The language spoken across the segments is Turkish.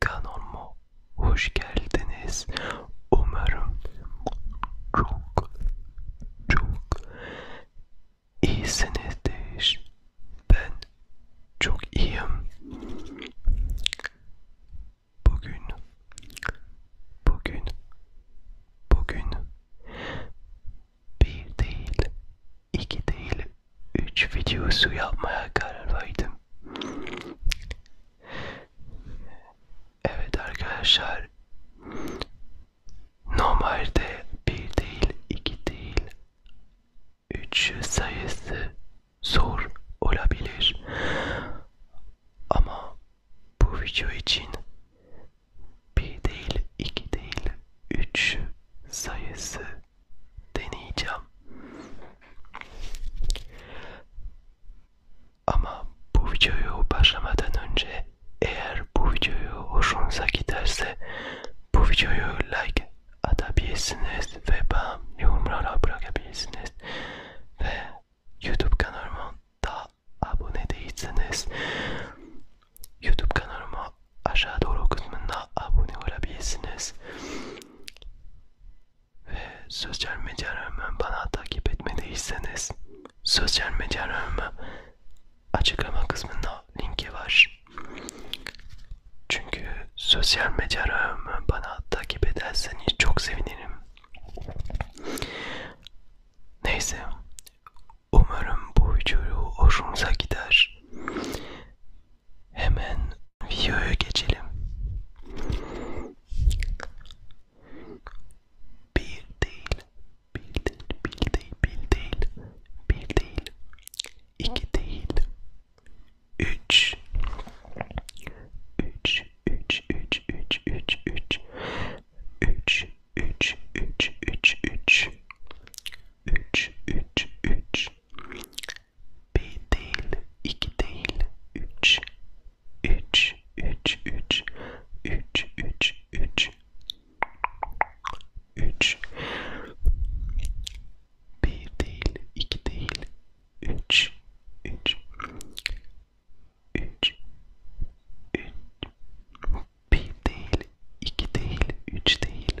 kanalıma hoş geldiniz. Umarım çok çok iyisinizdir. Ben çok iyiyim. Bugün bugün bugün bir değil, iki değil, 3 videosu yapmaya karar verdim. Evet arkadaşlar. Normalde bir değil, iki değil, üç sayısı zor olabilir. Ama bu video için bir değil, iki değil, üç sayısı deneyeceğim. Ama bu videoyu başlamadan önce eğer bu videoyu hoşunuza giderse bu videoyu like atabilirsiniz ve bana yorumlara bırakabilirsiniz ve YouTube kanalıma da abone değilseniz YouTube kanalıma aşağı doğru kısmında abone olabilirsiniz ve sosyal medyalarımı bana takip etmediyseniz sosyal medyalarımı açıklama kısmında linki var. Çünkü sosyal medyalarımı bana takip ederseniz çok sevinirim. Neyse, umarım bu video hoşunuza gider. Hemen videoya geçelim. Bir değil, bir değil, bir değil, bir değil, bir değil, iki değil, üç, üç, üç, üç, üç, üç, üç, üç, üç, üç, üç, üç, üç, üç, üç, bir değil, iki değil, üç, üç, üç, üç, üç, üç, üç, üç, bir değil, iki değil, üç, üç, üç, üç, bir değil, iki değil, üç değil,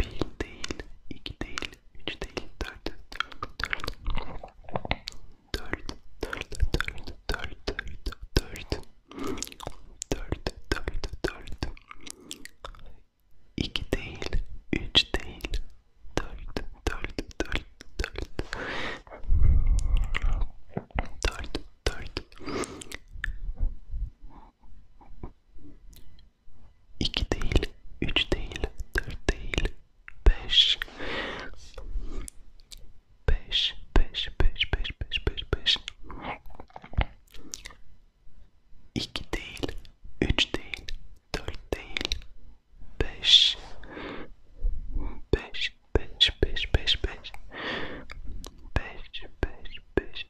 bir değil, iki değil, üç değil, dört, dört, dört, dört, dört, dört, dört, dört, dört, dört, iki değil, üç değil, dört, dört, dört, dört, dört, dört iki değil üç değil dört değil beş beş beş beş beş beş beş beş iki değil üç değil dört değil beş beş beş beş beş beş beş beş beş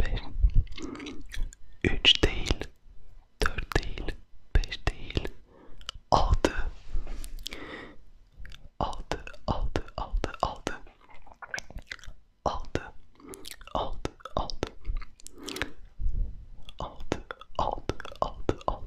5 3 değil 4 değil 5 değil 6 6 6 6 6 6 6 6 6 6 6 6 6 6 6 6 6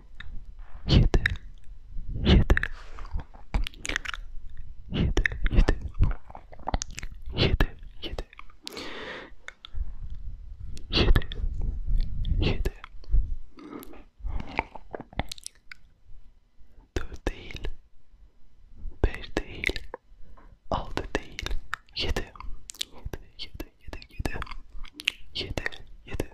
yedi yedi yedi yedi yedi yedi yedi yedi dört değil beş değil altı değil yedi yedi yedi yedi yedi yedi yedi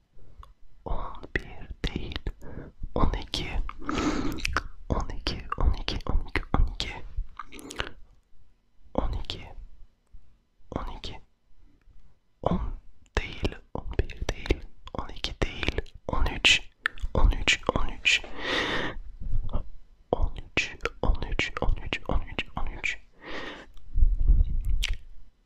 11 değil 12 12 12 12 12 12 12 10 değil 11 değil 12 değil 13 13 13 13 13 13 13 13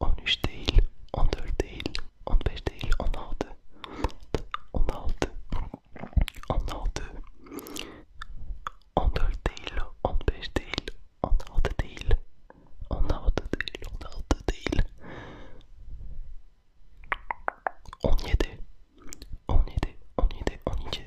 13 değil, 14 değil, 15 değil, 16, 16, 16, 14 değil, 15 değil, 16 değil, 16 değil, 16 değil, 17, 17, 17, 12,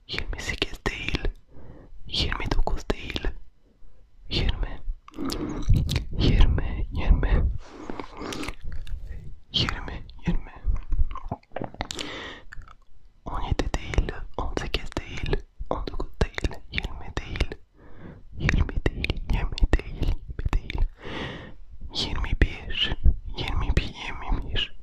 28 değil, 29 değil, 20, 20, 20, 20, 20, 17 değil, 18 değil, 19 değil, 20 değil, 20 değil, 20 değil, 20 değil, 21, 21, 21,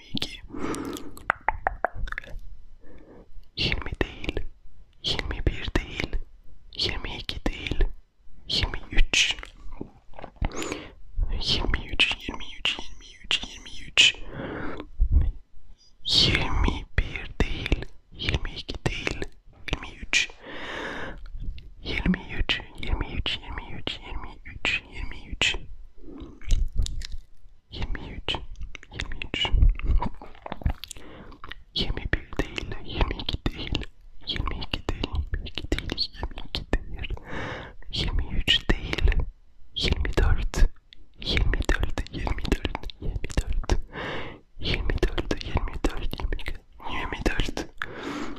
22 20 değil 21 değil 22 değil 23 23 23 23 23 21 değil 22 değil 23 23 23 23 23 23 23 23 23 21 değil 22 değil 22 değil 22 değil 22 değil 23 değil 24 24 24 24 24 24 24 24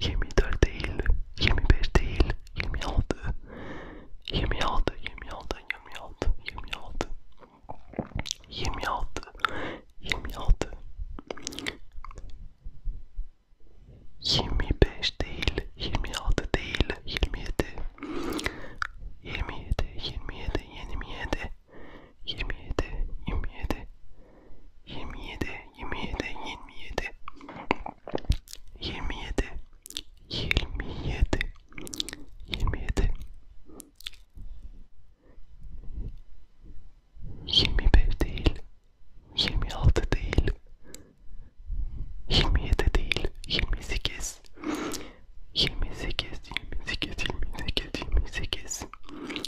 24 değil, 25 değil, 26, 26, 26, 26, 26, 26, 26, 25 değil, 26 değil, 27, 27, 27, 27, 27, 27, 27, 27 27 27 27 27 25 değil 26 değil 27 değil 28 28 28 28 28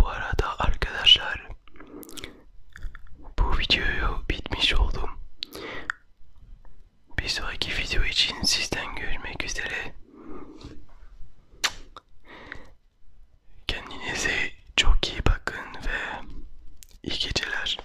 Bu arada arkadaşlar bu videoyu bitmiş oldum. Bir sonraki video için sizden görmek üzere. Kendinize çok iyi bakın ve iyi geceler.